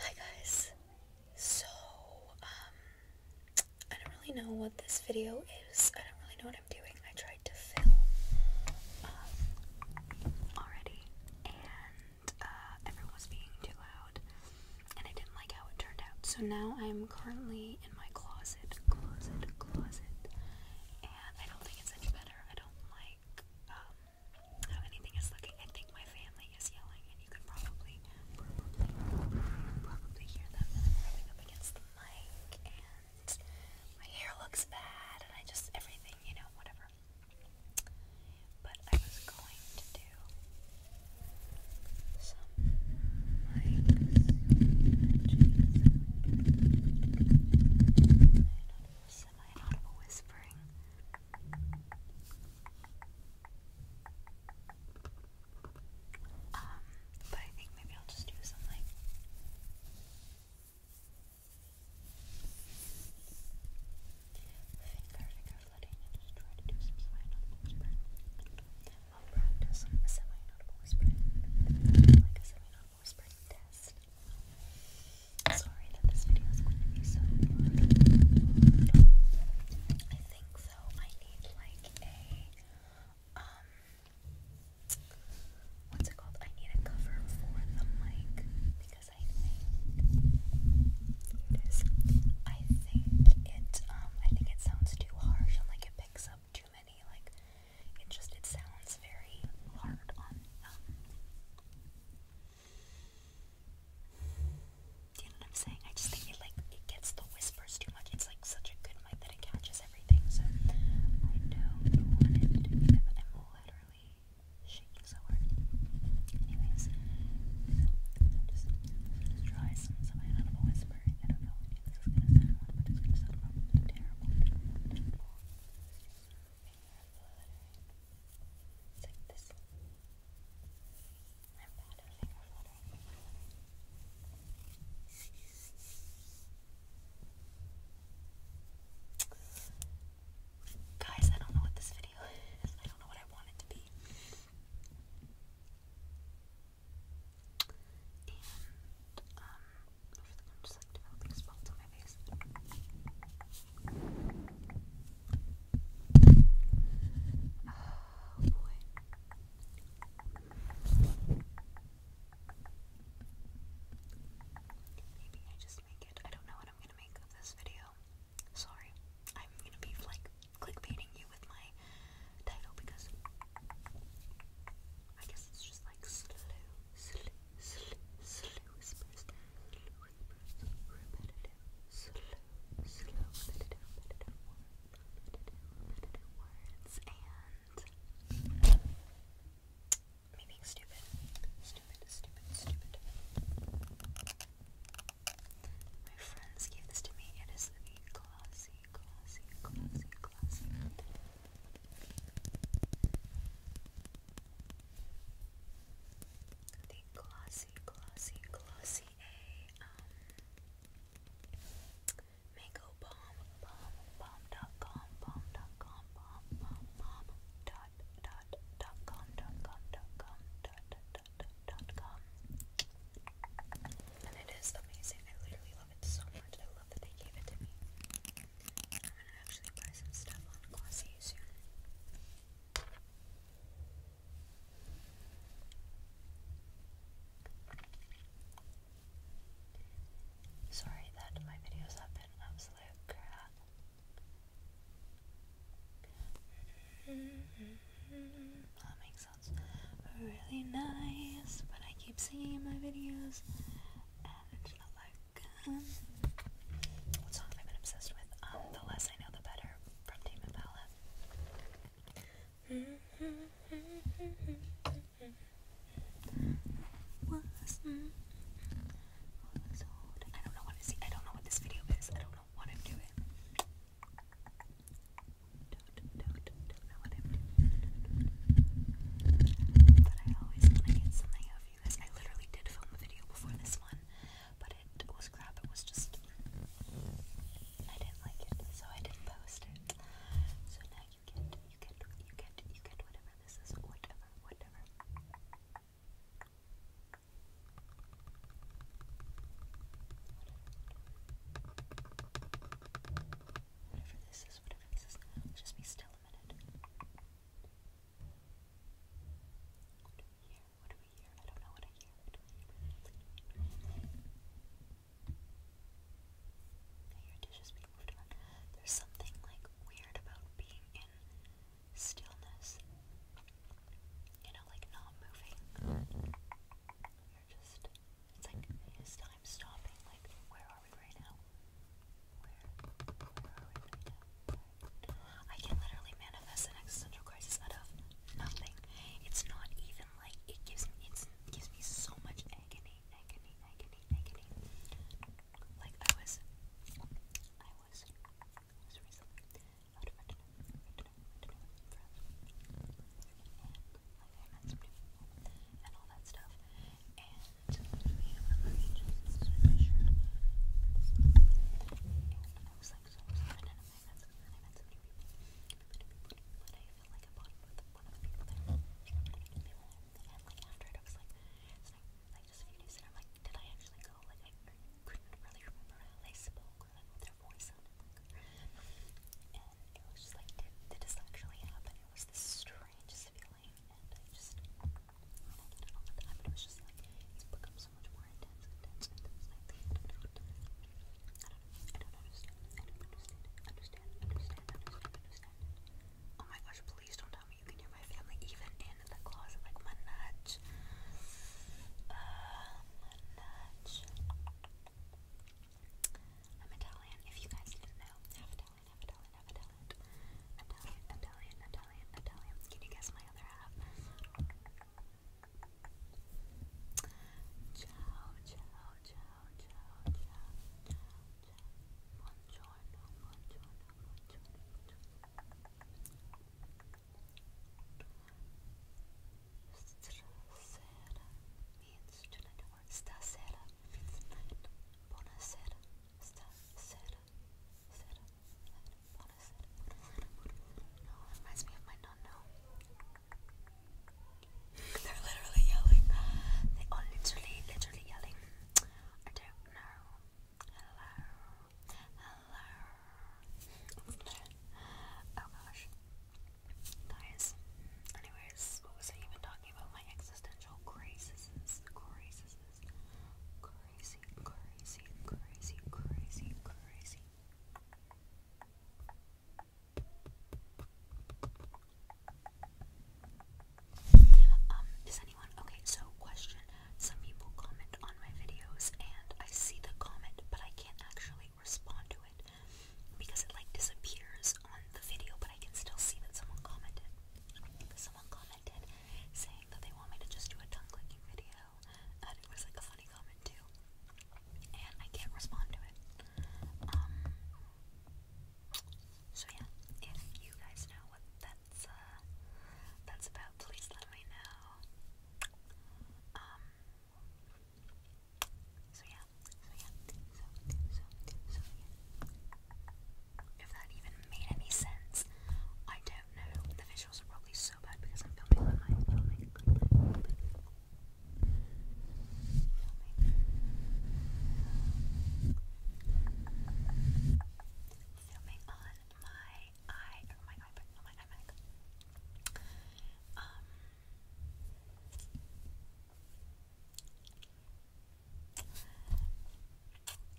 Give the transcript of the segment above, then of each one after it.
Hi guys. So, um, I don't really know what this video is. I don't really know what I'm doing. I tried to film um, already, and uh, everyone was being too loud, and I didn't like how it turned out. So now I'm currently in my closet, closet, closet, and I don't think it's any better. I don't like um, how anything is looking. I think my family is yelling, and you can probably, probably, hear them. I'm up against the mic, and my hair looks bad, and I just everything, you know, whatever. But I was going to do some semi-audible whispering. Um, but I think maybe I'll just do some like finger finger letting and just try to do semi-audible whispering. practice some semi-audible whispering, like a semi-audible whispering test. Sorry that this video is going to be so long. I think though I need like a um what's it called? I need a cover for the mic because I think here it is. I think it um I think it sounds too harsh and like it picks up too many. Like it just it sounds very hard on um, you know what I'm saying? I just think it like it gets the whispers too much. It's like such a good mic that it catches everything. So I don't want to be that, but I'm so just, try some some I don't whisper. I don't know if this is gonna sound, but it's gonna sound probably terrible purple. It's Guys, I don't know what this video is. I don't know what I want it to be. And, um, I I'm just spots on my face. Oh uh, boy. Maybe I just make it. I don't know what I'm gonna make of this video. Sorry. I'm gonna be like clickbaiting you with my title because I guess it's just like slow, slow, slow, slow whispers. repetitive, slow, slow, repetitive, words, and me stupid, stupid, stupid, stupid. My friends gave this to me. It is the glossy glossy, glossy, glossy. The glossy, glossy, glossy a um mango bomb, bomb, bomb dot com, bomb dot com, bomb, bomb, bomb dot dot dot com, dot com, dot com, dot dot dot dot com. And it is amazing. I literally love it so much. I love that they gave it to me. I'm gonna actually buy some stuff on Glossy soon. Sorry that my videos have been absolute crap. Humming mm-hmm. oh sounds really nice, but I keep seeing my videos and it's not like um, what songs I've been obsessed with. Um, the less I know, the better from Tame Impala. I don't know what to see. I don't know what this video is. I don't know what I'm doing do But I always want to get something of you guys. I literally did film a video before this one, but it was crap. It was just. I didn't like it, so I didn't post it. So now you get, you get, you get, you get whatever this is. whatever. Whatever. Whatever this is, whatever this is. just be still a minute. do we hear? What do we hear? I don't know what I hear. What dishes being moved There's something like weird about being in stillness. You know, like not moving. You're just it's like, time stopping? Like, where are we right now? Where, where are we right now? I can literally manifest an existential crisis out of nothing. It's not even like, it gives me, it gives me so much agony, agony, agony, agony. Like, I was, I was, was recently, and all that stuff. And I was like so and I met some, and I met some people. But I feel like I bought it with one of the people there. And like after it was like, it's just a few I'm like, did I actually go? Like I couldn't really remember how they spoke their it. was just like, did, this actually happen? It was the strangest feeling, and I just, it was just like, it's become so much more intense, Oh my gosh, please don't tell me you can hear my family even in the closet, like, my nut. Uh, much. I'm Italian. If you guys didn't know, half Italian, Italian, Italian. Italian, Italian, Italian, Italian. Can you guess my other half? Ciao, ciao, ciao, ciao, ciao, ciao, ciao. Buongiorno, buongiorno, buongiorno, buongiorno. Strasera means to let it work. Stasera means night. Bonacera. Stasera. Sera. Bonacera. No, it reminds me of my nonno. They're literally yelling. They are literally, literally yelling. I don't know. Hello. Hello. Oh gosh. Guys, anyways, what was I even talking about? My existential crises, crises, crazy, crazy, crazy, crazy, crazy. Um, is anyone okay? So, question: some people comment on my videos and I see the comment but I can't actually respond to it because it like disappears on the video but I can still see that someone commented. Someone commented saying that they want me to just do a tongue clicking video and it was like a funny comment too and I can't respond to it. Um, so yeah, if you guys know what that's uh, that's about, please let me know. Um, so yeah, so yeah, so, so, so yeah. If that even made any sense, I don't know. The visuals are probably so bad because I'm filming on my Filming on my i or my iPad, not my iMac. Um,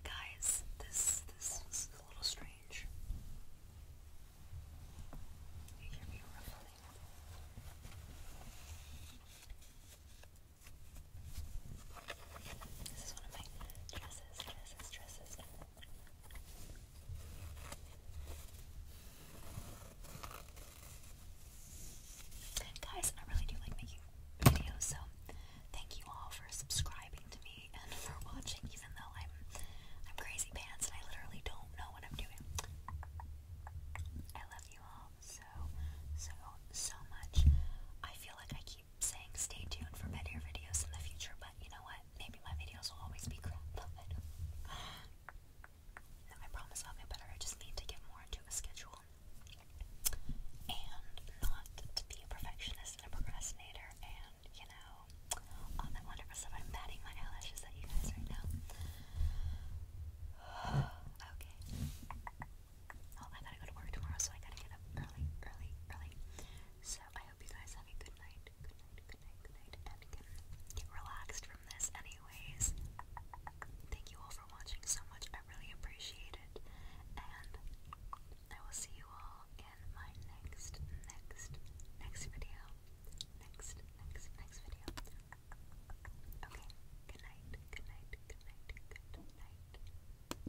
guys, this this is a little strange. You hear me ruffling. This is one of my dresses, dresses, dresses, Guys, I really do like making videos, so thank you all for subscribing to me and for watching, even though I'm I'm crazy pants and I literally don't know what I'm doing. I love you all so so so much. I feel like I keep keep saying stay tuned for better videos in the future, but you know what? Maybe my videos will always be crap, but no, I promise I'll get better. I just need to get more into a schedule and not to be a perfectionist and a procrastinator and, you know, all that wonderful stuff. I'm batting my eyelashes at you guys right now. okay. Oh, I gotta go to work tomorrow, so I gotta get up early, early, early. So, I hope you guys have a good night, good night, good night, good night, and get relaxed from this anyways. Thank you all for watching so much. I really appreciate it. And I will see you all in my next, next, next video. Next, next, next video. Okay, good night, good night, good night, good night.